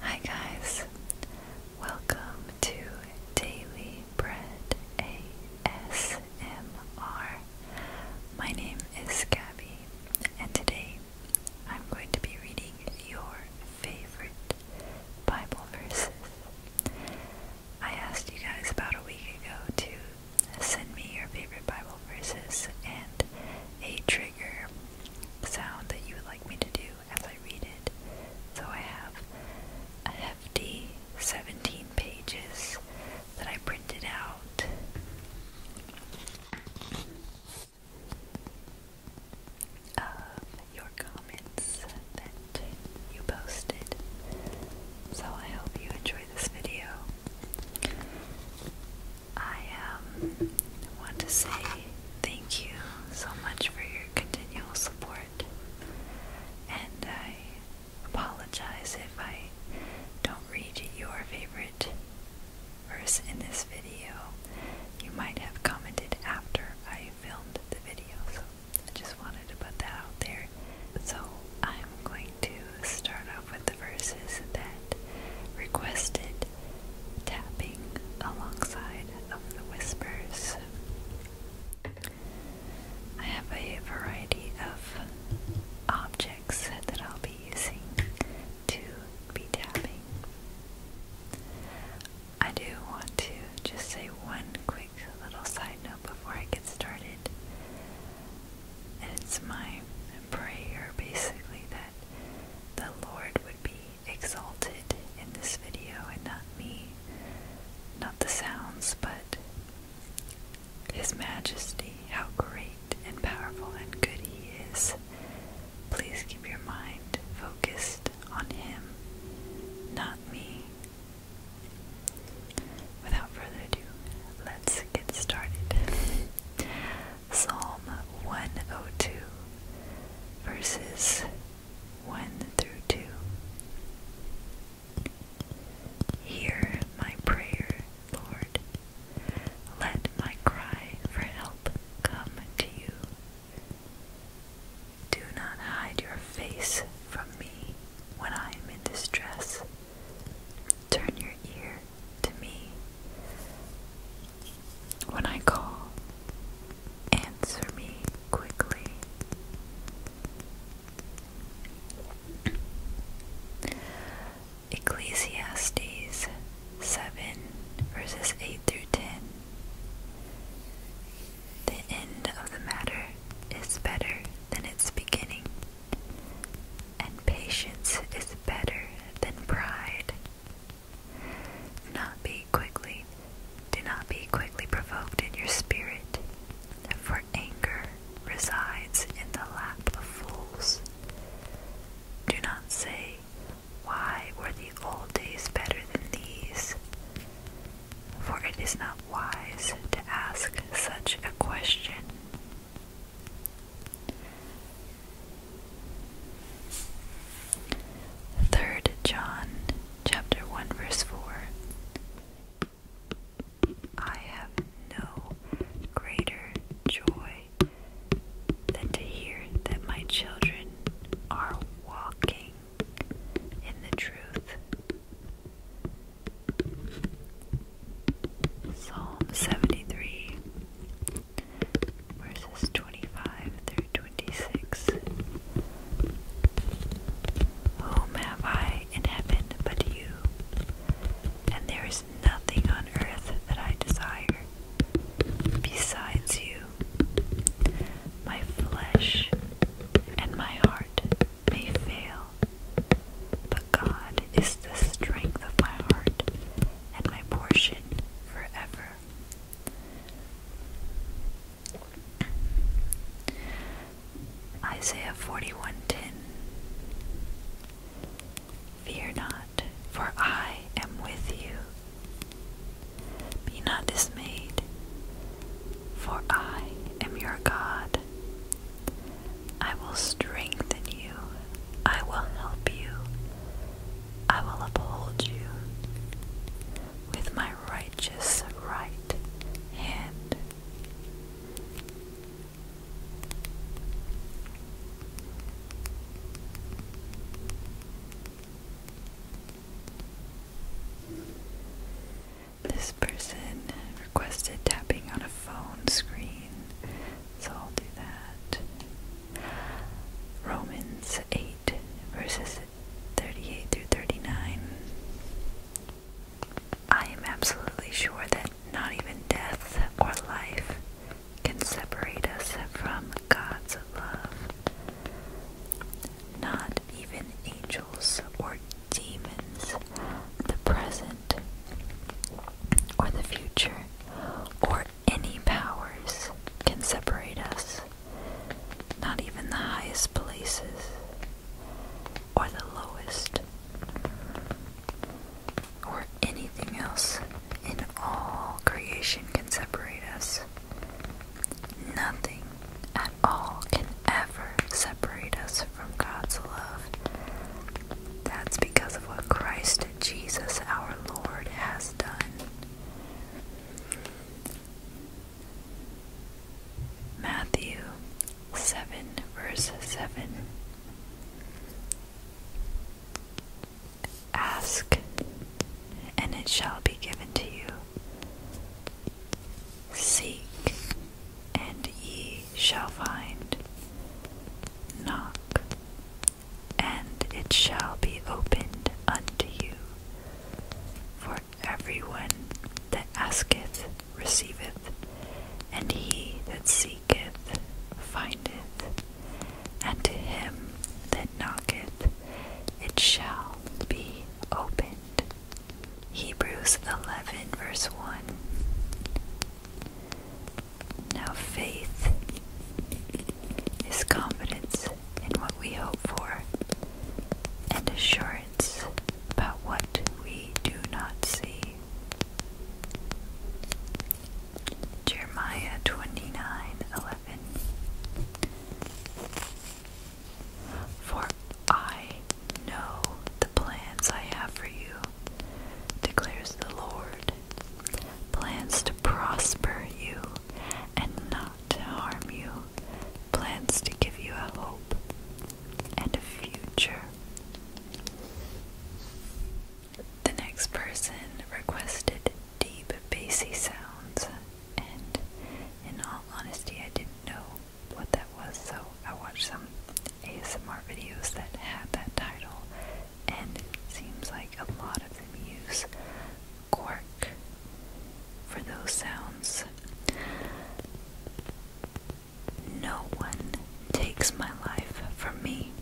Hi, guys, welcome to Daily Bread ASMR. My name is Gabby, and today I'm going to be reading your favorite Bible verses. I asked you guys about a week ago to Send me your favorite Bible verses and a trigger sound that you would like me to do as I read it. So I have a hefty 17 pages that I printed out. Of your comments that you posted. So I hope you enjoy this video. I um, want to say thank you so much for your continual support, and I apologize if I don't read your favorite verse in this video. You might have commented after I filmed the video, so I just wanted to put that out there. So I'm going to start off with the verses that requested tapping alongside of the whispers. I have a variety of objects that I'll be using to be tapping. I do want to just say one quick little side note before I get started. And it's my prayer basically that the Lord would be exalted in this video and not me, not the sounds, but His Majesty, how great and powerful and good He is. Please keep your mind focused on Him, not me. Without further ado, let's get started. Psalm 102, verses 1 through 2. Hear my prayer, Lord. Let my cry for help come to you. Do not hide your face from me when I am in distress. Turn your ear to me. When I call, answer me quickly. Ecclesiastes 7, verses 8 through 10. The end of the matter is better than its beginning, and patience is better than pride. Not be quickly, do not be quickly provoked in your spirit, for anger resides in the lap of fools. Do not say, Why were the old days better than these? For it is not wise to ask such a question. Third John chapter one verse four I have no greater joy than to hear that my children are walking in the truth. Psalm 73, verses 25 through 26. Whom have I in heaven but you? And there is nothing on earth that I desire besides you. My flesh and my heart may fail, but God is the strength of my heart and my portion for ever. Isaiah 41:10 Fear not, for I am with you. Be not dismayed, for I am your God. I will strengthen you. I will help you. I will uphold you with my righteous right hand. This person requested tapping on a phone screen, so I'll do that. Romans 8, verses 38 through 39. I am absolutely sure that not even death or life can separate us from God's love. Not even angels or demons, the present, or the future, or any powers can separate us, not even the highest places or the lowest, or anything else in all creation can separate us. Nothing at all can ever separate us from God's love. That's because of what Christ Jesus our Lord has done. Matthew 7, verse 7. Ask, and it shall be given to you. Seek, and ye shall find. Knock, and it shall be opened unto you. For everyone that asketh receiveth, and he that seeketh findeth, and to him that knocketh it shall be opened. Hebrews 11, verse 1 now, faith is confidence in what we hope for and assurance about what we do not see. Jeremiah 29 For I Know the plans I have for you, declares the Lord. Plans to prosper you and not to harm you, plans to give you a hope and a future. The next person requested deep, bassy sounds, and in all honesty, I didn't know what that was, so I watched some ASMR videos that have that title, and it seems like a lot of them use cork for those sounds. No one takes my life from me,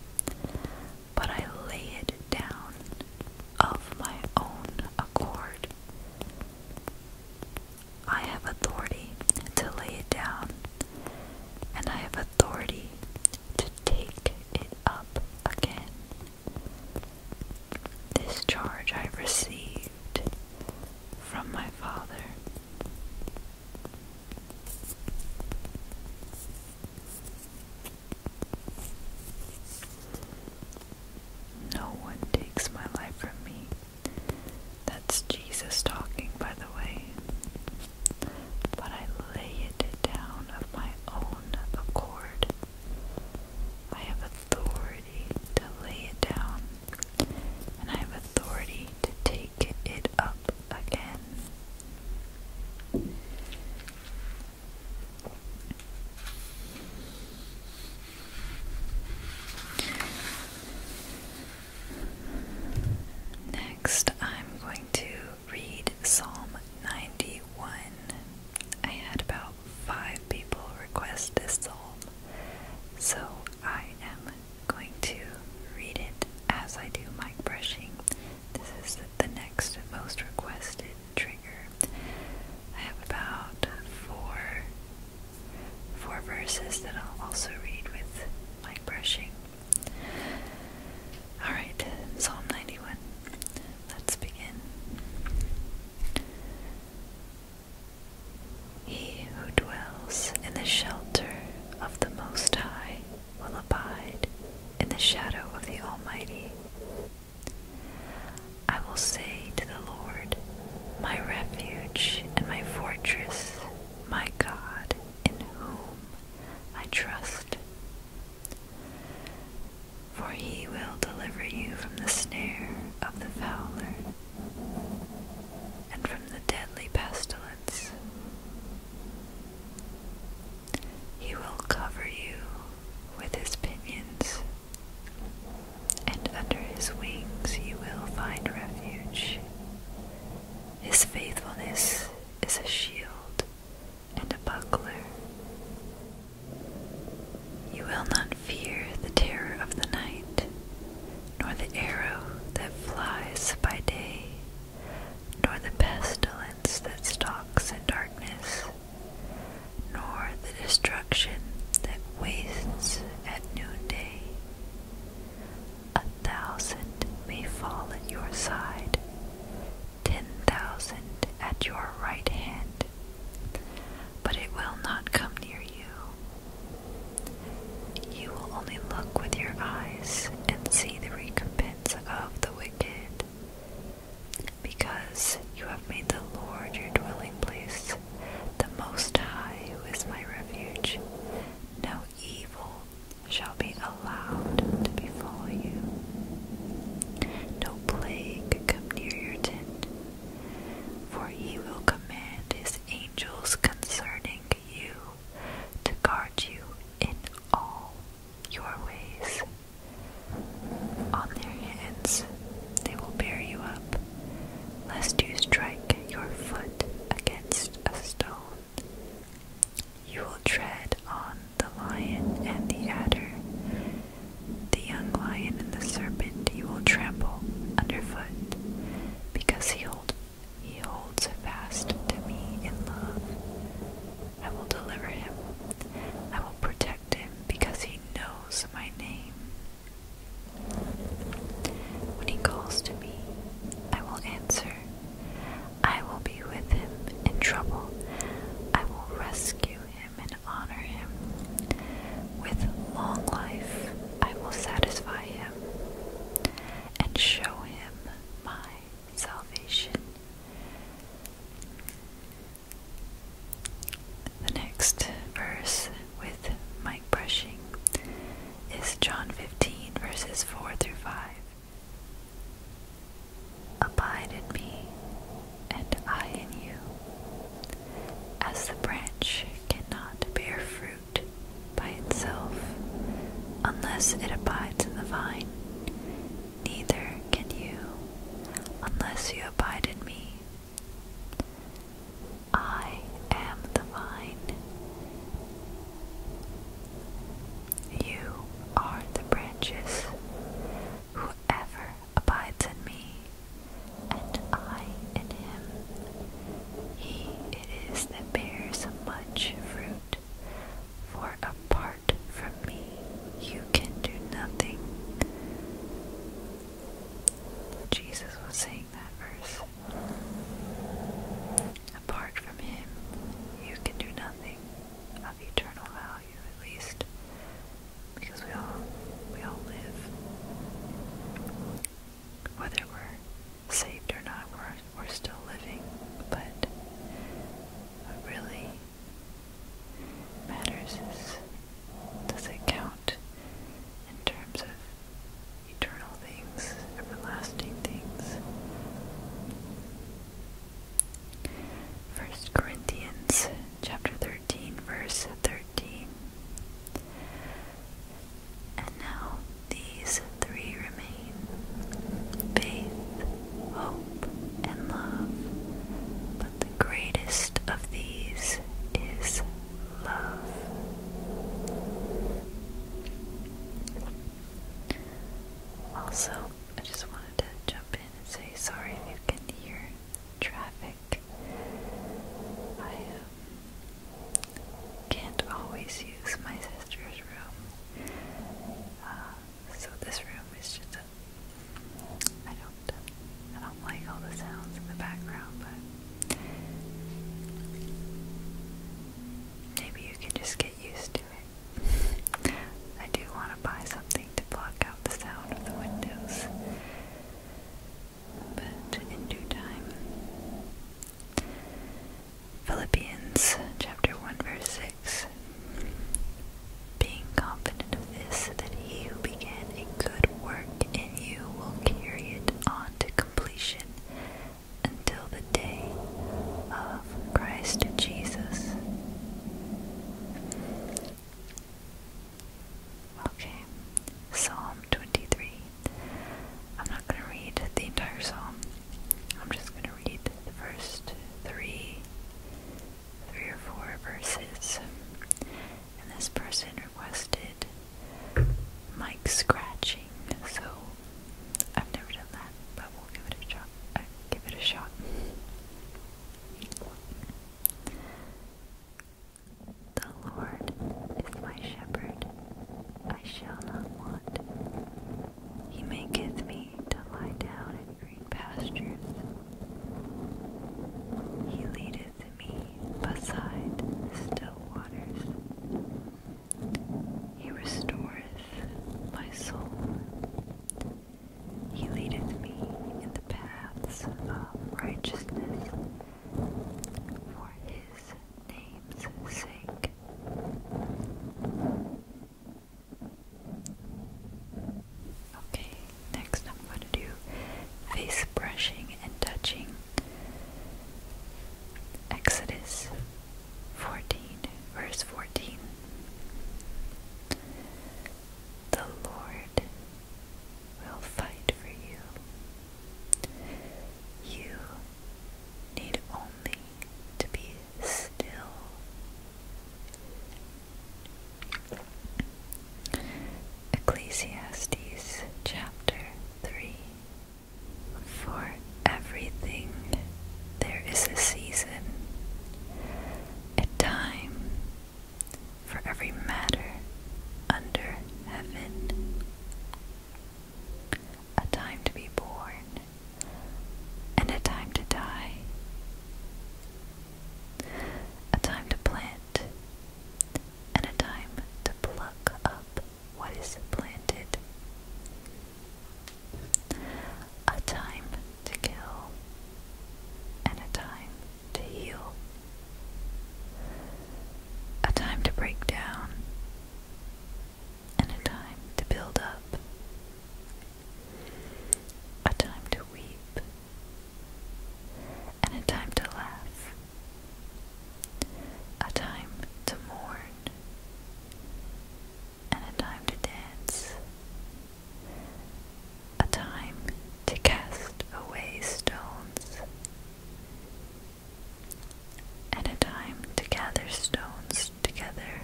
but I lay it down of my own accord. I have authority to lay it down and I have authority to take it up again. This charge I received from my Father. No one takes my life from me, that's Jesus talking, by the way. But I lay it down of my own accord. I have authority to lay it down, and I have authority to take it up again. Next, I'm going to read Psalm 91. I had about five people request this psalm, so I am going to read it as I do mic brushing. This is the next most requested trigger. I have about four four verses that I'll also read with mic brushing. Alright, Psalm 91. Let's begin. He who dwells in the shelter of the Most High will abide in the shadow of the Almighty. I will say to the Lord, My refuge and my fortress, my God, in whom I trust. For he will deliver you from the snare of the fowler and from the deadly pestilence. He will cover you with his pinions, and under his wings you will find refuge. His faithfulness is a shield and a buckler. You will not fear the terror of the night, nor the arrow that flies by day, nor the pestilence that stalks in darkness, nor the destruction that wastes at noonday. A thousand may fall at your side, ten thousand at your right hand, but it will not come near you. You will only look with your eyes and see the recompense of the wicked, because you have made the Lord your dwelling place, the Most High, who is my refuge. No evil shall be allowed to befall you, no plague come near your tent, for he will command his angels concerning you to guard you in all your ways. On their hands they will bear you up, lest you strike your foot against a stone. You will tread on the lion and the adder, the young lion and the serpent you will trample underfoot, because he, hold, he holds fast to me in love. I will deliver him, I will protect him, because he knows my name. When he calls to me, I will answer. I will be with him in trouble. I will rescue him and honor him. With long life, I will satisfy him and show him my salvation. The next verse with mic brushing is John 15, verses 4 through 5. Abide in me, and I in you. As the branch cannot bear fruit by itself unless it abides in the vine, neither can you unless you abide in me. I am the vine, you are the branches. Whoever abides in me, and I in him, he it is that bears much fruit. For apart from me, you can do nothing. Jesus was saying that verse. Apart from him, you can do nothing of eternal value, at least, because we all we all live. Whether we're saved or not, we're we're still living, but what really matters is does it count in terms of eternal things, everlasting things. 1 Corinthians chapter 13 verse 13 And now these three remain faith, hope, and love. But the greatest of these is love. Also, I just wanted to jump in and say sorry if you can hear traffic. I um, can't always use my sister's room. Uh, so this room is just a, I don't I don't like all the sounds in the background, but maybe you can just get used to it. I do want to buy something to block out the sound of the windows. But in due time. Philippians chapter 1 verse 6 Being confident of this, that he who began a good work in you will carry it on to completion until the day of Christ Jesus. Okay, Psalm 23. I'm not going to read the entire psalm. I'm just going to read the first three, three or four verses. And this person requested Mike scratching, so I've never done that, but we'll give it a shot. Uh, give it a shot. The Lord is my shepherd, I shall not want. He maketh me to lie down in green pastures. He leadeth me beside still waters. He restoreth my soul. He leadeth me in the paths of righteousness for his name's sake. Okay, next I'm going to do face brushing and touching. Exodus 14, verse 14. The Lord will fight for you. You need only to be still. Ecclesiastes chapter 3 for everything there is a season, a time for every matter under heaven, a time to be born and a time to die, a time to plant and a time to pluck up, what is planted. A time to kill and a time to heal. A time to break down and a time to build up. A time to weep and a time to laugh. A time to mourn and a time to dance, a time to cast away stones, and a time to gather stones together,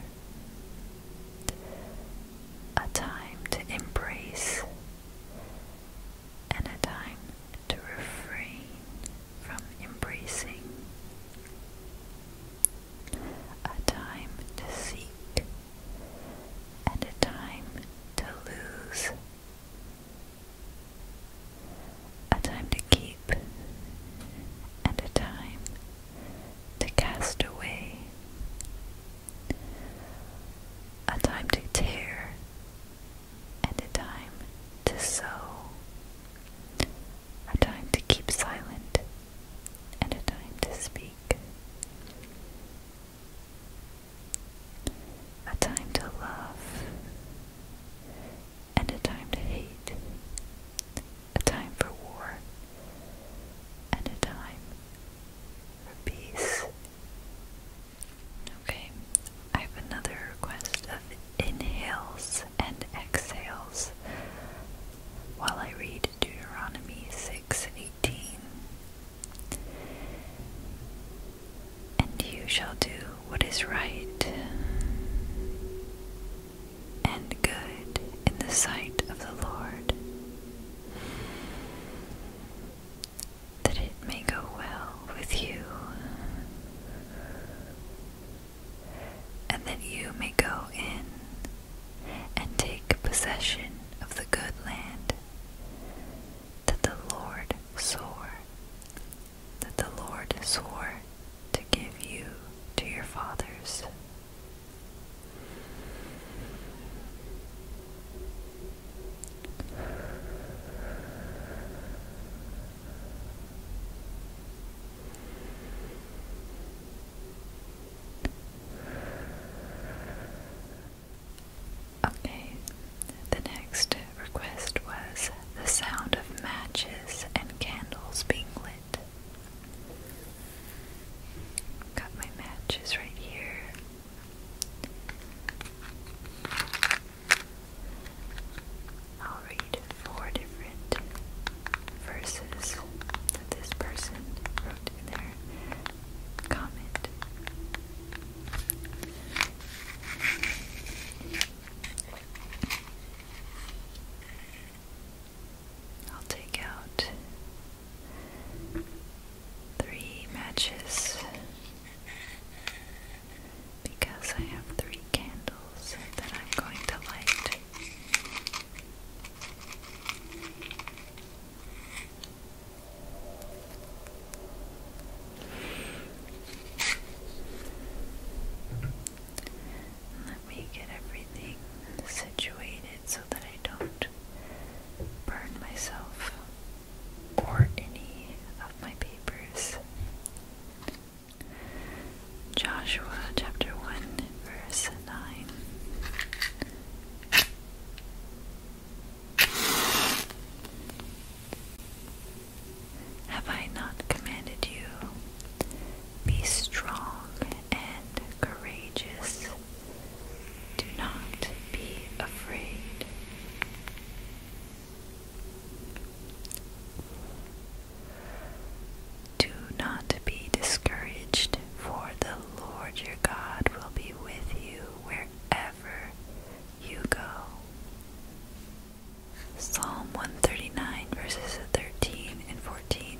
a time to embrace, and a time to refrain from embracing. A time to seek and a time to lose. A time to keep and a time to cast away. A time to tear and a time to sew a time to keep silent, and a time to speak, a time to love, and a time to hate, a time for war, and a time for peace. Okay, I have another request of inhales and exhales while I read Deuteronomy 6:18 And you shall do what is right and good in the sight of the Lord that it may go well with you and that you may go in and take possession of the good land that the Lord swore, that the Lord swore to give you to your fathers. Okay, the next request was the sound of matches and candles being lit. Got my matches right here. I'll read four different verses that this person wrote in their comment. I'll take out three matches because I have three candles that I'm going to light. Let me get everything situated so that I don't burn myself or any of my papers. Joshua chapter 1, verse 9. Have I not commanded you? Be strong and courageous. Do not be afraid. Do not be discouraged, for the Lord your God will be with you wherever you go. Psalm 139, verses 13 and 14.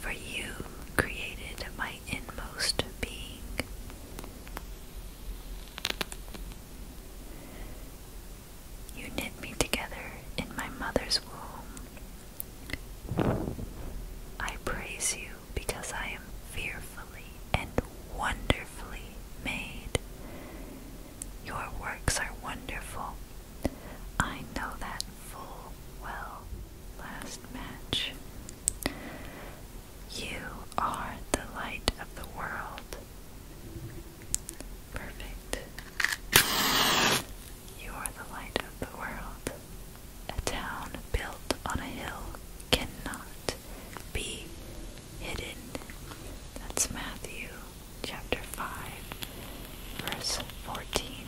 For you created my inmost being. You knit me together in my mother's womb. I praise you because I am fearfully and wonderfully made. Your works are wonderful. I know that full well. Last match. You are the light of the world. Perfect. You are the light of the world. A town built on a hill cannot be hidden. That's Matthew chapter 5, verse 14.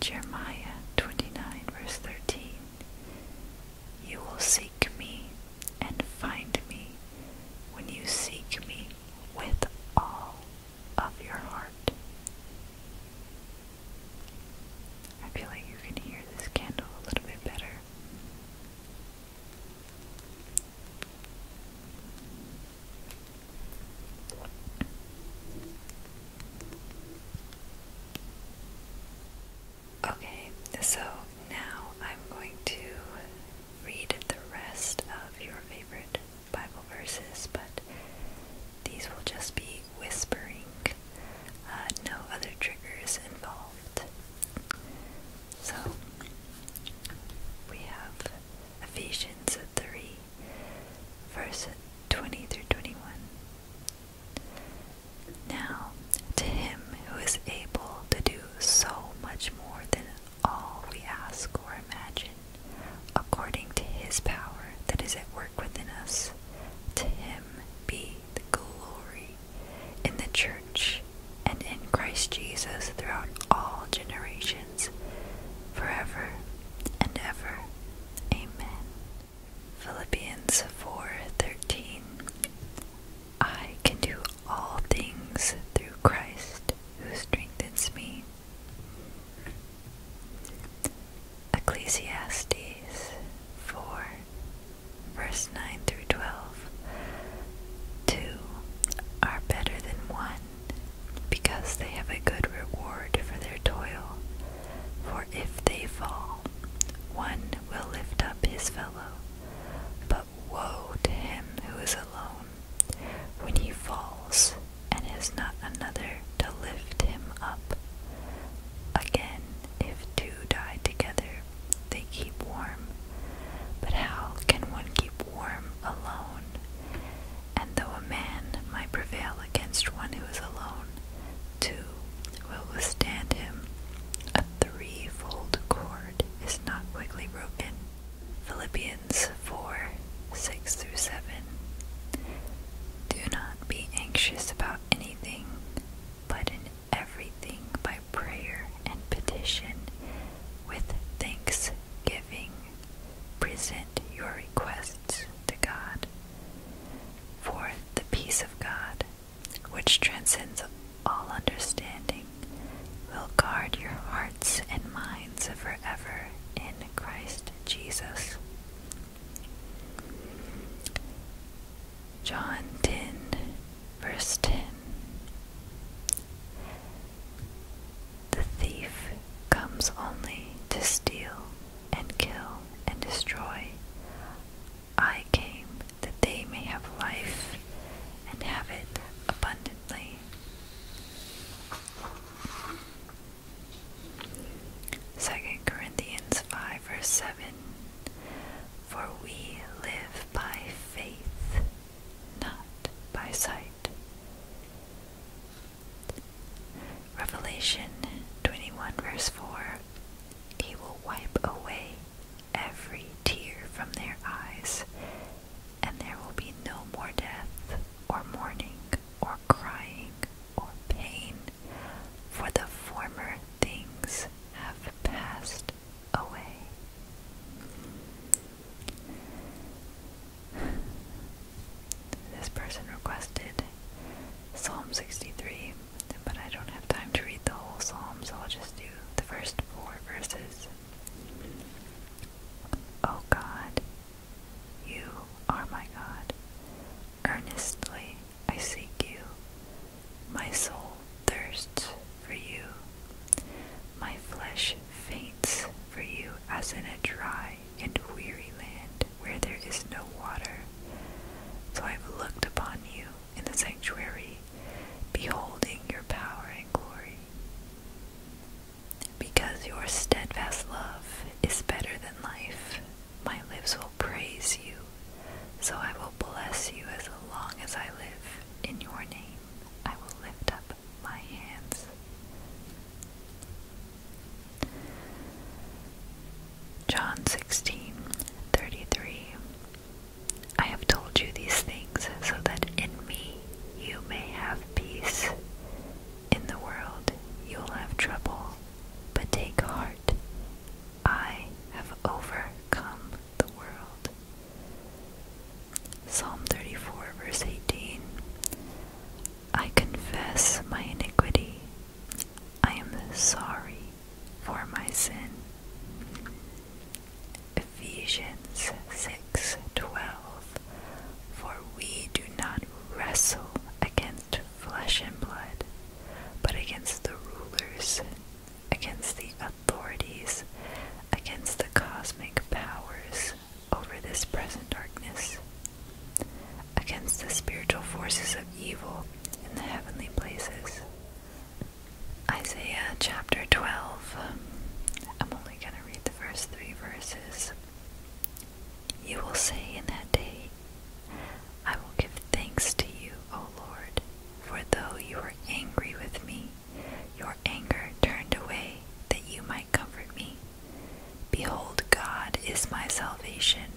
Jeremiah 29, verse 13. You will seek me and find me when you seek me with all of your heart. I feel like you can hear this candle a little bit better. Okay, so now I'm going to read the rest of your favorite Bible verses, but these will just be whispering, uh, no other triggers involved. So we have Ephesians 3 verse 20 through 21. Now, to him who is able to do so much more than all we ask or imagine, according to his power that is at work within us, to him be the glory in the church and in Christ Jesus throughout all generations, forever and ever. Amen. Philippians 4:13 I can do all things through Christ who strengthens me. Ecclesiastes 4 verse 9 through 12 are better than one because they have a good reward for their toil. For if they fall, one will lift up his fellow. But woe to him who is alone when he falls and has not another to lift him up. Again, if two die together, they keep warm. But how can one keep warm alone? And though a man might prevail against one who is alone, 2. Will withstand him. A threefold cord is not quickly broken. Philippians 4 6 through 7. Do not be anxious about anything, but in everything by prayer and petition, with thanks, giving present your requests to God. For the peace of God, which transcends all understanding, will guard your hearts and minds forever in Christ Jesus. John 10, verse 10. The thief comes only to steal, and kill and destroy. I came that they may have life and have it abundantly. Second Corinthians five verse seven For we live by faith, not by sight. Revelation 21, verse 4 He will wipe away every tear from their eyes, and there will be no more death, or mourning, or crying, or pain, for the former things have passed away. This person requested Psalm 63, but I don't have time to read the whole psalm, so I'll just do the first four verses. O God, you are my God. Earnestly I seek you. My soul thirsts for you. My flesh faints for you as in a dry and weary land, where there is no water. So I have looked upon you in the sanctuary, beholding your power and glory. Because your steadfast love is better than life, my lips will praise you, so I will bless you as long as I live. In your name I will lift up my hands. John 16 33 I have told you these things so that in me you may have peace. In the world you will have trouble, but take heart. I have overcome the world. Psalm 34, verse 18 I confess my iniquity. I am sorry for my sin. Ephesians 6:12 For we do not wrestle against flesh and blood, but against the rulers, against the authorities, against the cosmic powers over this present darkness, against the spiritual forces of evil in the heavenly places. Isaiah chapter 12. I'm only going to read the first three verses. You will say in that day, I will give thanks to you, O Lord, for though you were angry with me, your anger turned away that you might comfort me. Behold, God is my salvation,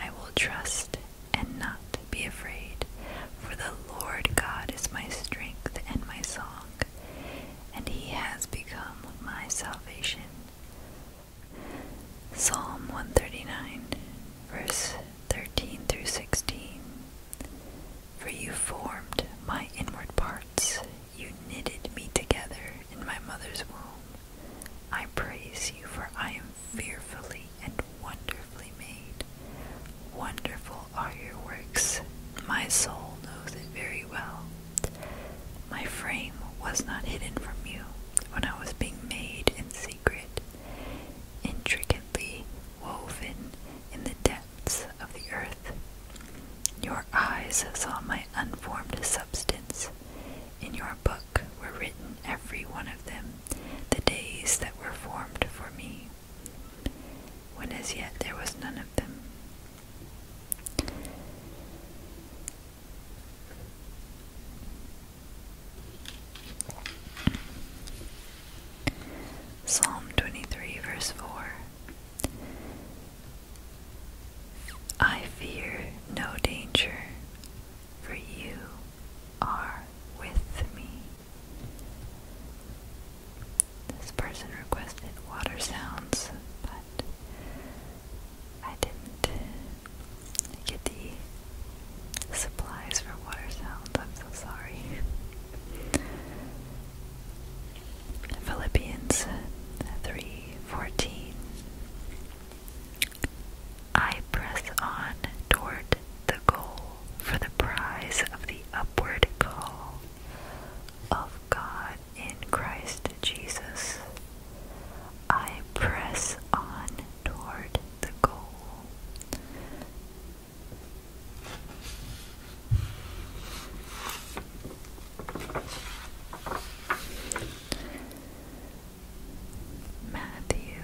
I will trust and not be afraid, for the Lord God is my strength and my song, and he has become my salvation. Psalm 139, verse 13 through 16. For you formed my inward parts, you knitted me together in my mother's womb. I praise you, for I am fearfully and wonderfully made. Wonderful are your works. My soul knows it very well. My frame was not hidden from you when I was being made in secret, intricately woven in the depths of the earth. Your eyes saw my unformed substance, in your book were written every one of them, the days that were formed for me, when as yet there was none of them. Psalm 23, verse 4 I fear no danger, for you are with me. This person requested water sounds, but I didn't get the supplies for water sounds. I'm so sorry. Philippians 3:14 I press on toward the goal for the prize of the upward call of God in Christ Jesus. I press on toward the goal. Matthew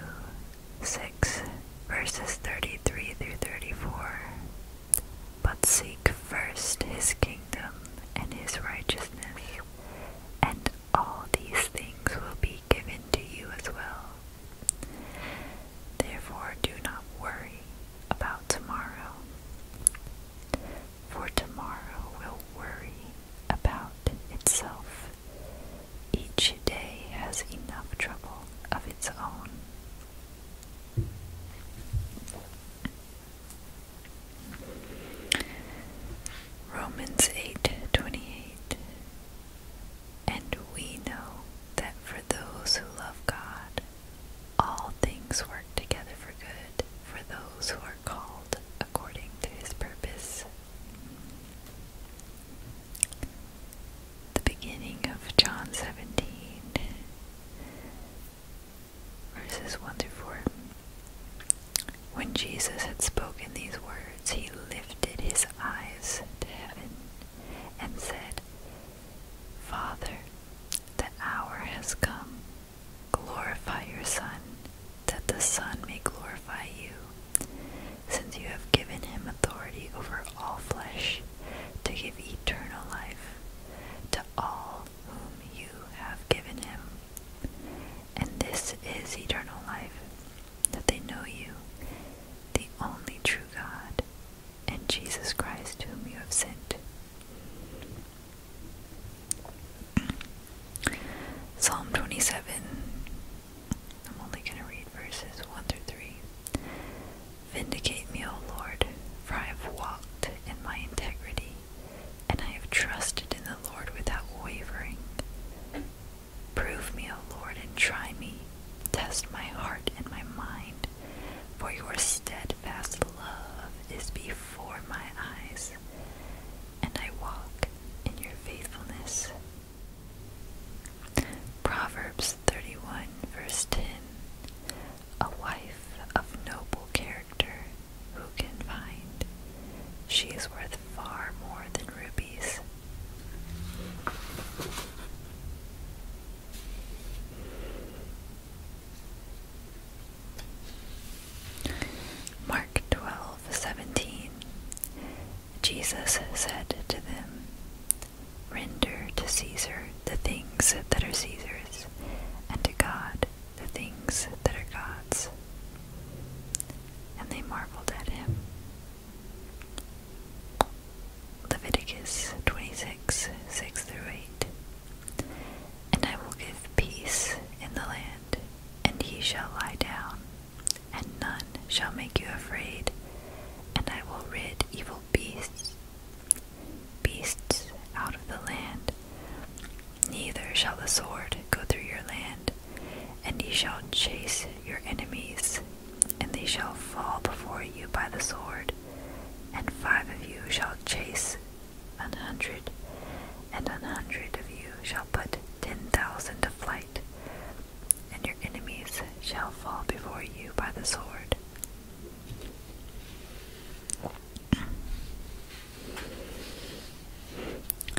6 verses 33 through 34. But seek first his kingdom and his righteousness, and all these things will be given to you as well. Therefore, do not worry about tomorrow, for tomorrow will worry about itself. Each day has enough trouble of its own. Romans 8:28 And we know that for those who love God all things work together for good for those who called according to his purpose. The beginning of John 17, verses 1 to 4. When Jesus had spoken these words, he lifted his eyes to heaven and said, Father, the hour has come. Glorify your Son, that the Son may glorify you, since you have given him authority over all flesh, to give eternal life to all whom you have given him. And this is eternal life, that they know you, the only true God, and Jesus Christ, whom you have sent. Psalm 27. I'm only going to read verses 1 through 3. Vindicate me, O Lord, for I have walked in my integrity, and I have trusted in the Lord without wavering. Prove me, O Lord, and try me. Test my heart and my mind, for your steadfast love is before my eyes, and I walk in your faithfulness. Proverbs 31, verse 10 A wife of noble character, who can find? She is worth far more than rubies. Mark 12:17 Jesus said to them, Render to Caesar the things that are Caesar's, and to God the things that are God's. And they marveled at him. Leviticus 26 6 through 8. And I will give peace in the land, and he shall lie down, and none shall make you afraid, and I will rid evil beasts, beasts out of the land. Neither shall the sword go through your land, and ye shall chase your enemies, and they shall fall before you by the sword, and five of you shall chase an hundred, and an hundred of you shall put ten thousand to flight, and your enemies shall fall before you by the sword.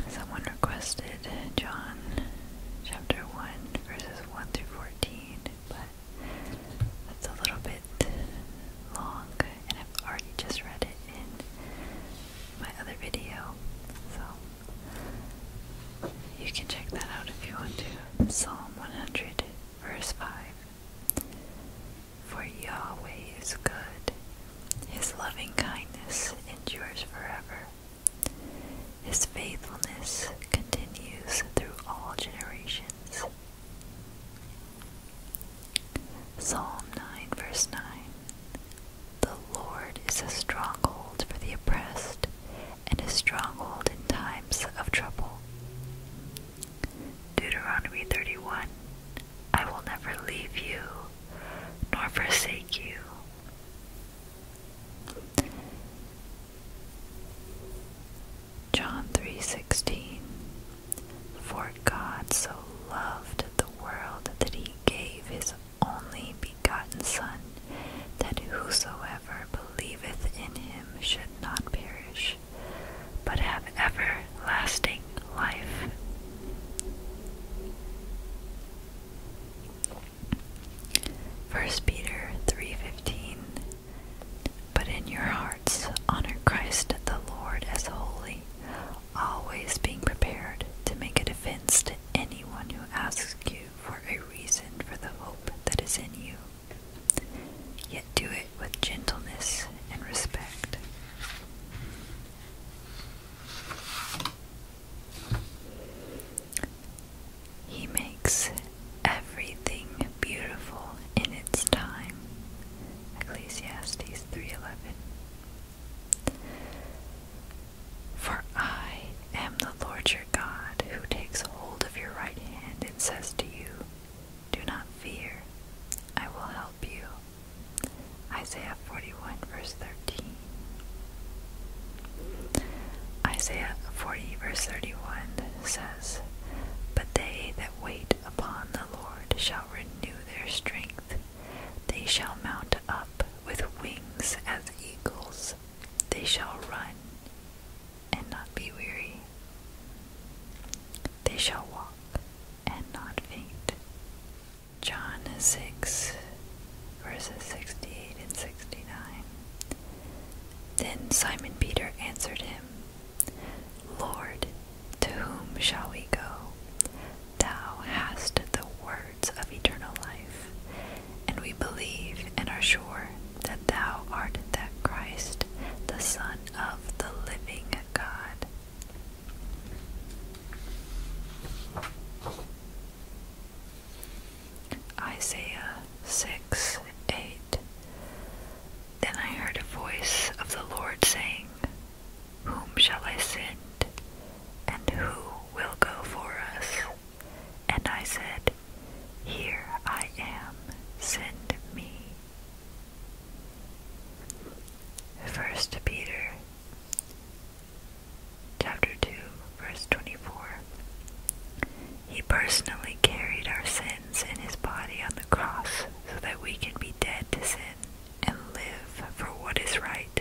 Someone requested John chapter 1, verses 1 through 14, but that's a little bit long, and I've already just read it in my other video. So you can check that out if you want to. Psalm 100, verse 5. For Yahweh is good, His loving kindness endures forever. His faithfulness continues through all generations. Psalm 9, verse 9 the Lord is a stronghold for the oppressed and a stronghold in times of trouble. Deuteronomy 31 I will never leave you nor forsake you. John 3:16 For God so loved the world that he gave his only begotten Son, that whosoever believeth in him should not perish, but have everlasting life. First Peter 3:15 But in your hearts honor Christ the Lord as holy, always being prepared to make a defense to anyone who asks you for a reason for the hope that is in you. Yet do it with gentleness and respect. He makes everything beautiful in its time. Ecclesiastes 3:11. For I am the Lord your God, who takes hold of your right hand and says to you, Do not fear, I will help you. Isaiah 41, verse 13. Isaiah 40, verse 31 says, But they that wait upon the Lord shall renew their strength. They shall mount up with wings as eagles. They shall run and not be weary. They shall walk and not faint. John 6, verses 68 and 69. Then Simon Peter answered him, Lord, to whom shall we go? Thou hast the words of eternal life, and we believe and are sure that Thou art that Christ, the Son of the living God. Isaiah 6 8 Then I heard a voice of the Lord saying, whom shall I send? And who will go for us? And I said, Here I am, send me. 1 Peter chapter 2 verse 24 He personally carried our sins in his body on the cross so that we can be dead to sin and live for what is right.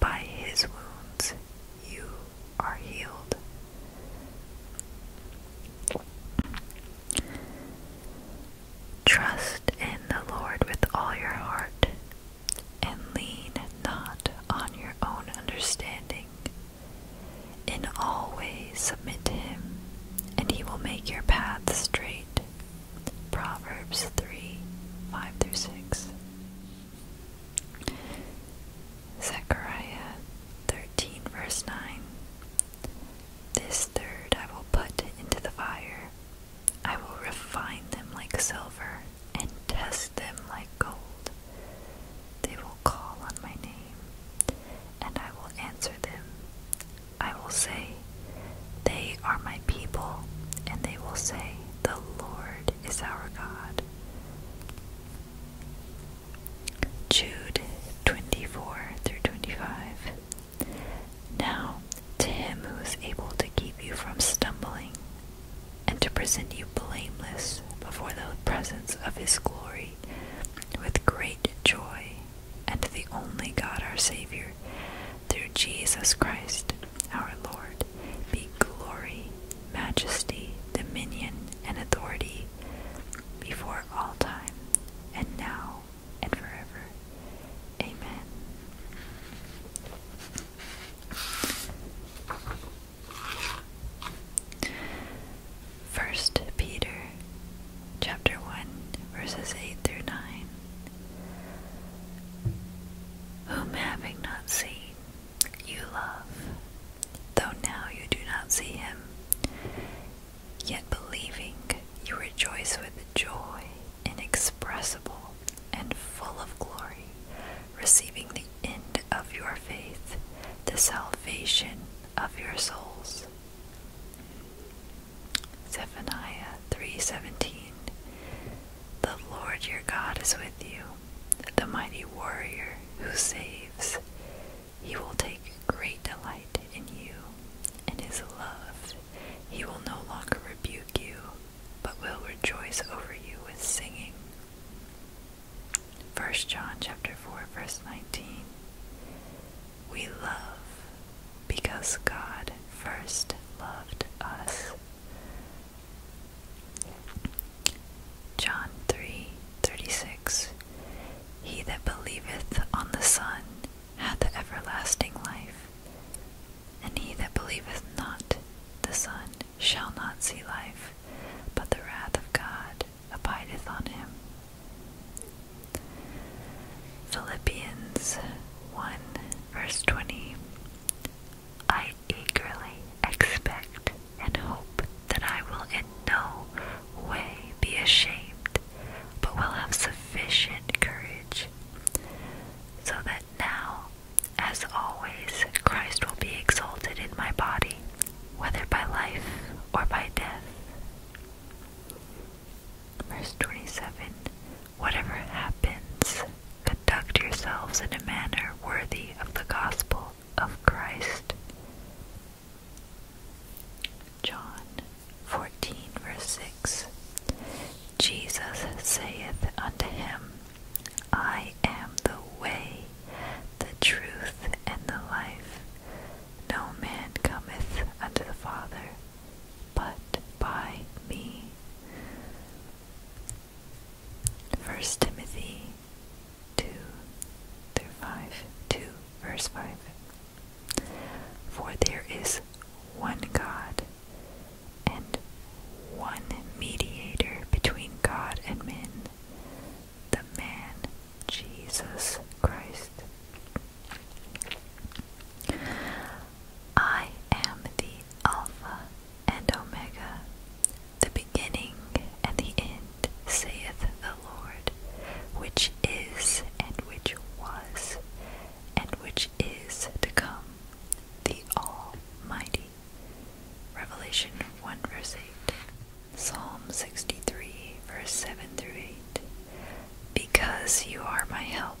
By his wounds you are healed. Trust in the Lord with all your heart, and lean not on your own understanding. In all ways submit to him, and he will make your path straight. Proverbs 3 5 through 6. Zechariah 13, verse 9. This third I will put into the fire. I will refine them like silver and test them like gold. They will call on my name, and I will answer them. I will say, They are my people, and they will say, the Lord is our God. Jude 24 through 25. Now, to him who is able to keep you from stumbling and to present you blameless before the presence of his glory with great joy, and the only God our Savior, through Jesus Christ, our Lord, be glory, majesty, dominion, and authority before all time, and now, and forever. Amen. First Peter chapter 1 verses 8 through 9 whom having not seen, you love, though now you do not see him, yet believing, you rejoice with joy inexpressible and full of glory, receiving the end of your faith, the salvation of your souls. Zephaniah 3:17 the Lord your God is with you, the mighty warrior who saves. He will take great delight in you, and his love. He will no longer rebuke you, but will rejoice over you with singing. 1 John chapter 4 verse 19 We love because God first loved us. John 3:36 He that believeth on the Son hath everlasting life, and he that believeth not the Son shall not see life, but the wrath of God abideth on him. Philippians 1 verse 20 I eagerly expect and hope that I will in no way be ashamed, but will have sufficient courage, so that now, as always, Christ will be exalted in my body, whether by life or by death. Verse 27 Whatever happens, conduct yourselves in a manner worthy of the gospel of Christ. John 14, verse 6 Jesus saith unto him, I am the way, the truth, and the life. No man cometh unto the Father but by me. 1 Timothy 2 through 5, 2 verse 5. For there is one God and one mediator between God and men, the man Jesus Christ. I am the Alpha and Omega, the beginning and the end, saith the Lord, which is and which was and which is to come, the Almighty. Revelation 1 verse 8. Psalm 63 verse 7 through 8. Because you are my help,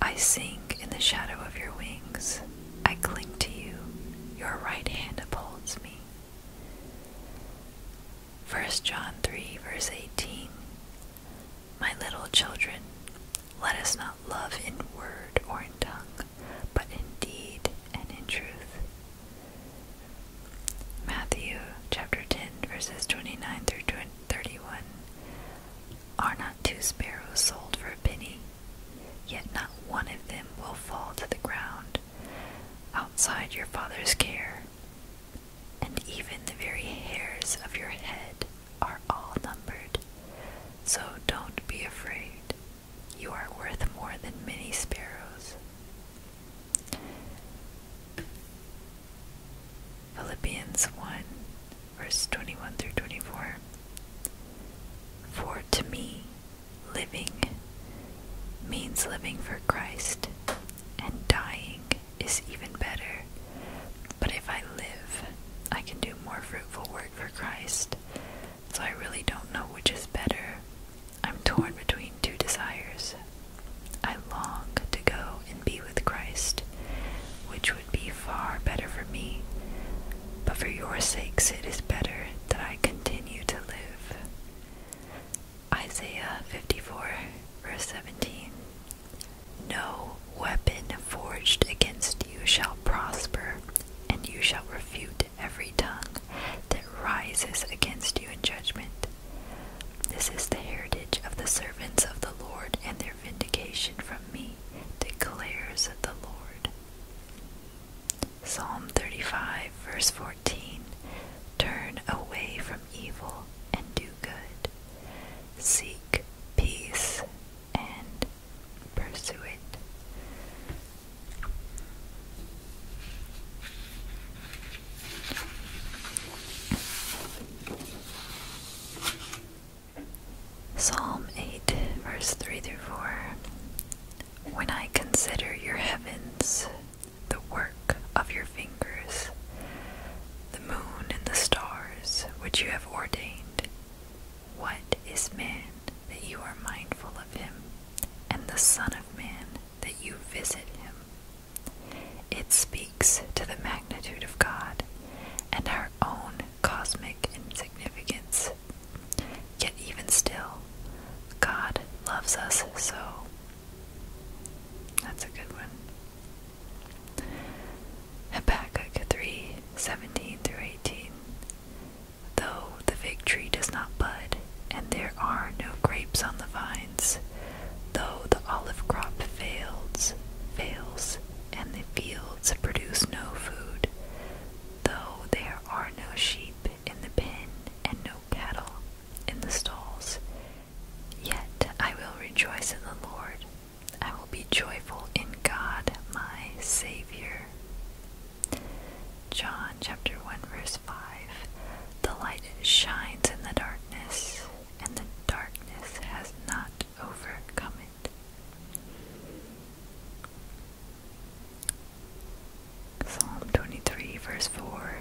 I sink in the shadow of your wings. I cling to you. Your right hand upholds me. First John 3, verse 18. My little children, let us not love in word or in tongue, but in deed and in truth. Matthew chapter 10, verses 29 through 31. Are not two sparrows sold for a penny? Yet not one of them will fall to the ground outside your Father's care, and even the very hairs of your head are all numbered. So don't be afraid, you are worth more than many sparrows. Philippians 1 verse 21 through 24. For to me, living means living for Christ, and dying is even better. But if I live, I can do more fruitful work for Christ. So I really don't know which is better. I'm torn between two desires. I long to go and be with Christ, which would be far better for me, but for your sakes it is better that I continue to live. Isaiah 54, verse 17. No weapon forged against you shall prosper, and you shall refute every tongue that rises against you in judgment. This is the heritage of the servants of the Lord and their vindication from me me, declares the Lord. Psalm 35, verse 14 Turn away from evil and do good. Seek peace and pursue it. Psalm 8, verse 3 through 4. When I consider your heavens, the work of your fingers, the moon and the stars which you have ordained, what is man that you are mindful of him, and the Son of Man that you visit him? It speaks to the magnitude of God and our own cosmic insignificance. Yet, even still, God loves us so. That's a good one. Habakkuk 3 17 through 18. Though the fig tree does not bud, and there are no grapes on the vines, though the olive crop fails, fails, and the fields produce no food, though there are no sheep in the pen and no cattle in the stalls. Yet I will rejoice in the Lord, I will be joyful in God my Savior. John chapter 1 verse 5 The light shines in the darkness, and the darkness has not overcome it. Psalm 23, verse 4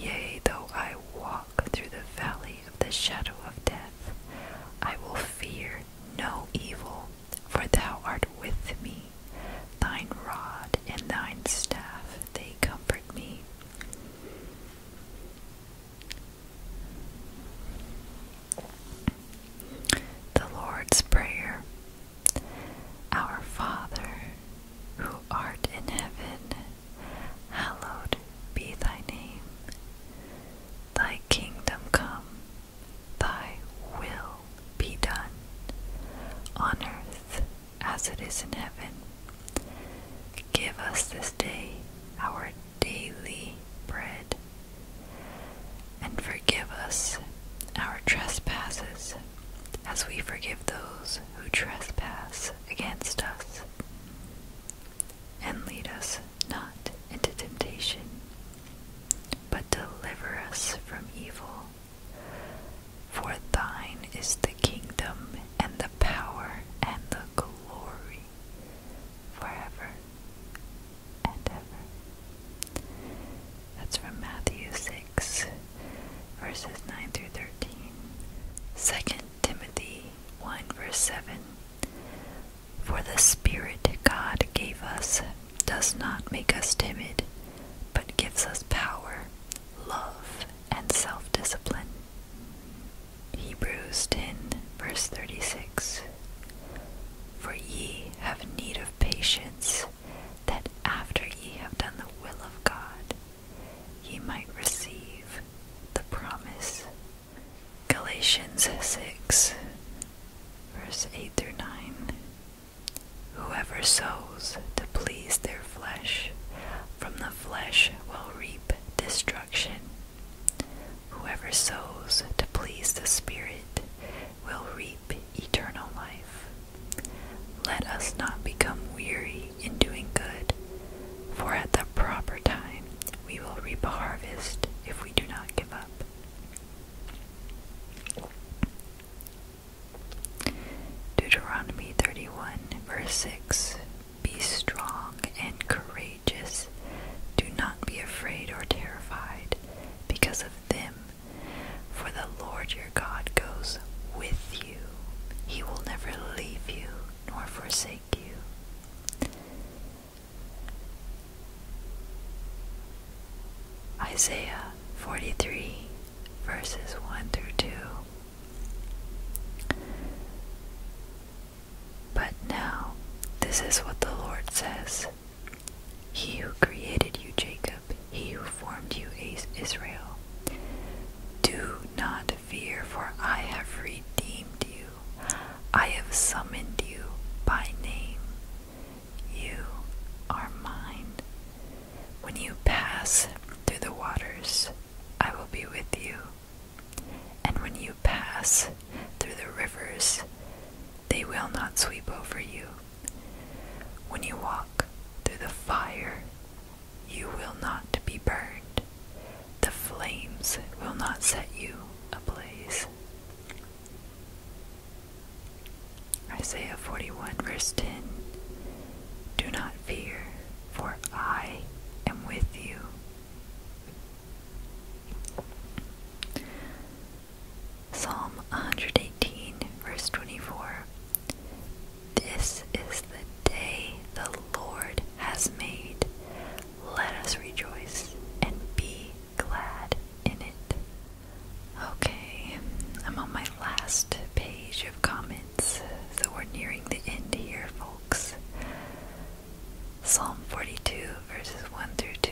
Yea, though I walk through the valley of the shadow of death, I will fear no evil, for thou art with me. Thine rod and thine staff, they comfort me. The Lord's Prayer Our Father, who art in heaven, hallowed be thy name. Thy kingdom come, thy will be done, on earth as it is in heaven. Give us this day our daily bread. And forgive us our trespasses, as we forgive those who trespass against us. And lead us not into temptation, but deliver us from evil. For thine is the kingdom, and the power, and the glory, forever and ever. That's from Matthew 6, verses 9 through 13. 2 Timothy 1, verse 7. For the Spirit God gave us does not make us timid, but gives us power, love, and self discipline. Hebrews 10, verse 36. For ye have need of patience, that after ye have done the will of God, ye might receive the promise. Galatians 6, verse 8 through 9. Whoever sows to please their flesh, from the flesh will reap destruction. Whoever sows to please the Spirit will reap eternal life. Let us not become weary in doing good, for at the proper time we will reap a harvest if we do not give up. Deuteronomy 31, verse 6 Be strong and courageous. Just Do not be afraid or terrified because of them, for the Lord your God goes with you. He will never leave you nor forsake you. Isaiah 43, verses 1 through 2. But now, this is what the Lord says he who created you, Jacob, he who formed you, Israel. Do not fear, for I have redeemed you. I have summoned you by name. You are mine. When you pass through the waters, I will be with you. And when you pass through the rivers, they will not sweep over you. When you walk through the fire, you will not be burned. The flames will not set you ablaze. Isaiah 41, verse 10 Do not fear, for I am with you. Psalm 118, verse 24. This is the day the Lord has made. Let us rejoice and be glad in it. Okay, I'm on my last page of comments, so we're nearing the end here, folks. Psalm 42, verses 1 through 2.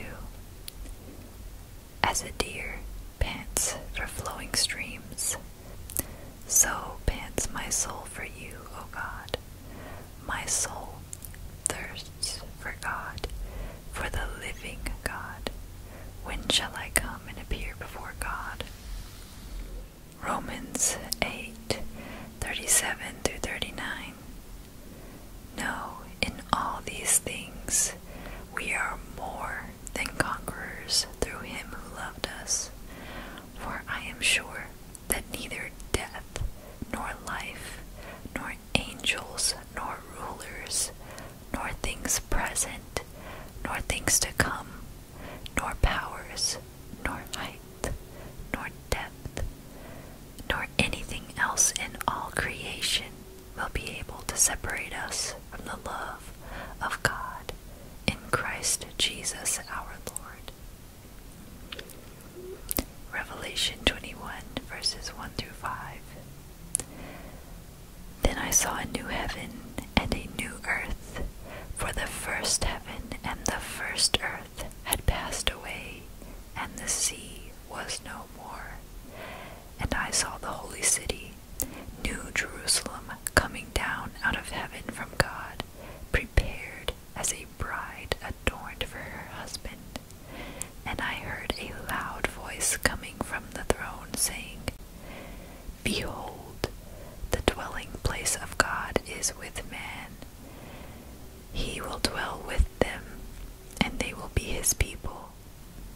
As a deer pants for flowing streams, so pants my soul for you, O God. My soul thirsts for God, for the living God. When shall I come and appear before God? Romans 8 37 through 39. No, in all these things we are more than conquerors through him who loved us. For I am sure that neither death, nor life, nor angels, nor rulers, nor things present, nor things to come, nor powers, nor height, nor depth, nor anything else in all creation will be able to separate us from the love of God in Christ Jesus our Lord. Revelation 21, verses 1 through 5. Then I saw a new heaven and a new earth, for the first heaven and the first earth had passed away, and the sea was no and I saw the holy city, New Jerusalem, coming down out of heaven from God, prepared as a bride adorned for her husband. And I heard a loud voice coming from the throne, saying, Behold, the dwelling place of God is with man. He will dwell with them, and they will be his people,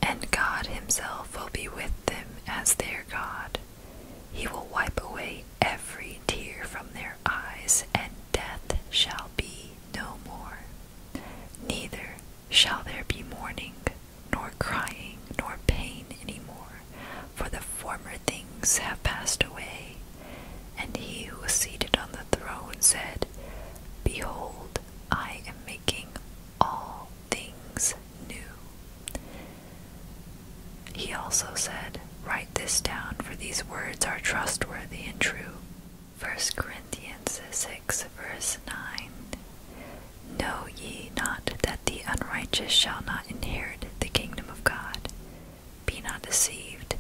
and God himself will be with them as their God. He will wipe away every tear from their eyes, and death shall be no more. Neither shall there be mourning, nor crying, nor pain any more, for the former things have passed away. And he who was seated on the throne said, Behold, I am making all things new. He also said, Write this down, for these words are trustworthy and true. 1 Corinthians 6, verse 9. Know ye not that the unrighteous shall not inherit the kingdom of God? Be not deceived,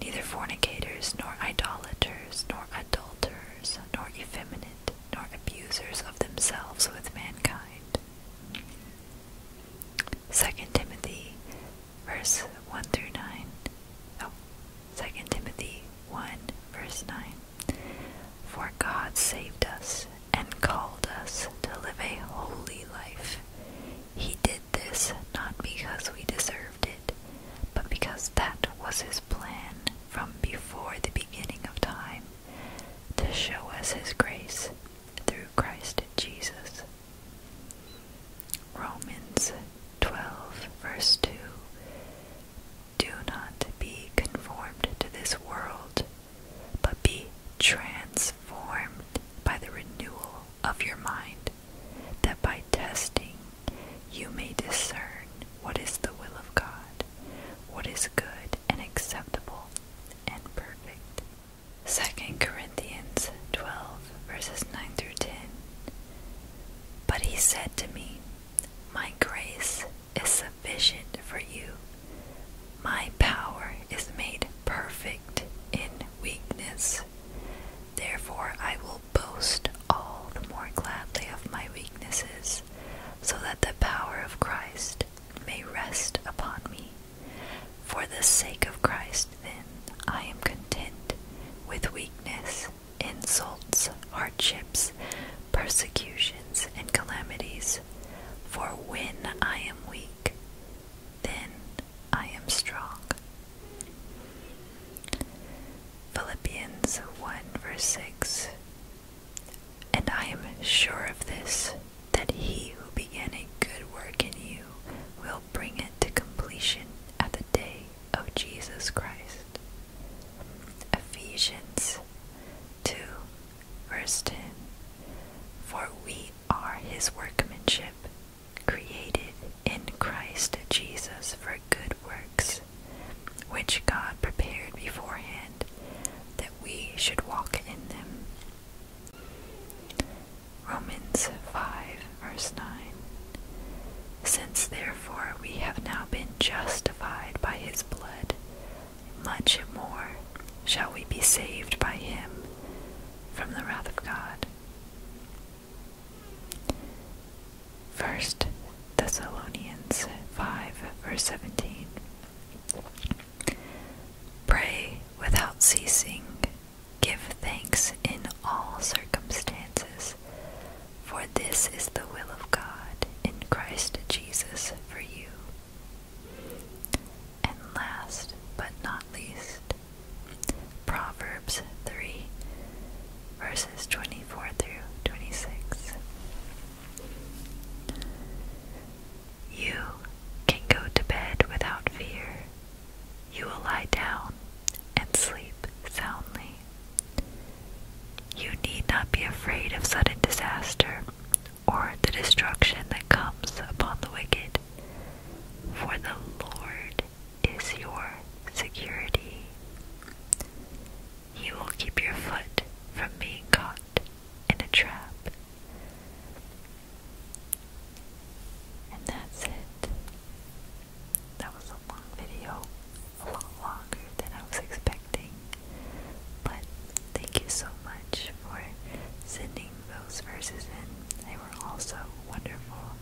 neither fornicators, nor idolaters, nor adulterers, nor effeminate, nor abusers of themselves with mankind. 2 Timothy verse 1 through 9. Oh, Timothy 1 verse 9. For God saved us and called us to live a holy life. He did this not because we deserved it but because that was his plan from before the beginning of time, to show us his grace through Christ Jesus. Romans 12, verse 2 Do not be conformed to this world, but be transformed by the renewal of your mind, that by testing you may discern what is the will of God, what is good and acceptable and perfect. Second Corinthians 12, verses 9 through 10. But he said to me, My grace is sufficient for you. My power is made perfect in weakness. Therefore, I will boast all the more gladly of my weaknesses, so that the power of Christ may rest upon me. For the sake of Christ, then, I am content with weakness, insults, hardships, persecutions, and calamities. For when I am weak, then I am strong. Philippians 1 verse 6 And I am sure of this, that he who began a good work in you will bring it to completion at the day of Jesus Christ. Ephesians 2 verse 10 For we are his workmanship, created in Christ Jesus for good works which God prepared beforehand that we should walk in them. Romans 5, verse 9. Since therefore we have now been justified by his blood, much more shall we be saved by him from the wrath of God. First Thessalonians 5 verse 17. Pray without ceasing, give thanks in all circumstances, for this is the will of God in Christ Jesus for you. And last but not least, Proverbs 3, verses 24 through 26. You can go to bed without fear. You will lie down and sleep soundly. You need not be afraid of sudden disaster or the destruction that comes upon the wicked, for the Lord is your security. He will keep your foot from being caught in a trap. And that's it. That was a long video, a lot longer than I was expecting. But thank you so much for sending those verses and They were also wonderful.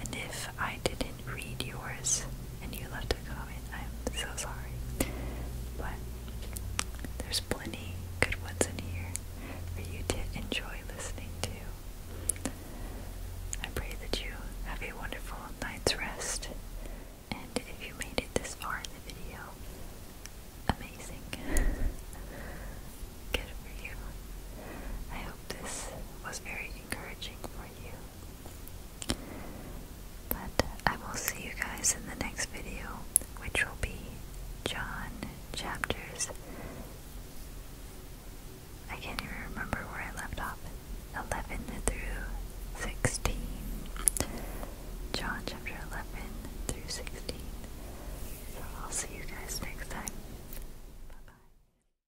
And if I didn't read yours and you left a comment, I'm so sorry. But there's plenty good ones in here for you to enjoy listening to. I pray that you have a wonderful night's rest. And if you made it this far in the video, amazing. Good for you. I hope this was very encouraging for you. But I will see you guys in the next video, which will be John chapters. I can't even remember where I left off. 11 through 16. John chapter 11 through 16. So I'll see you guys next time. Bye bye.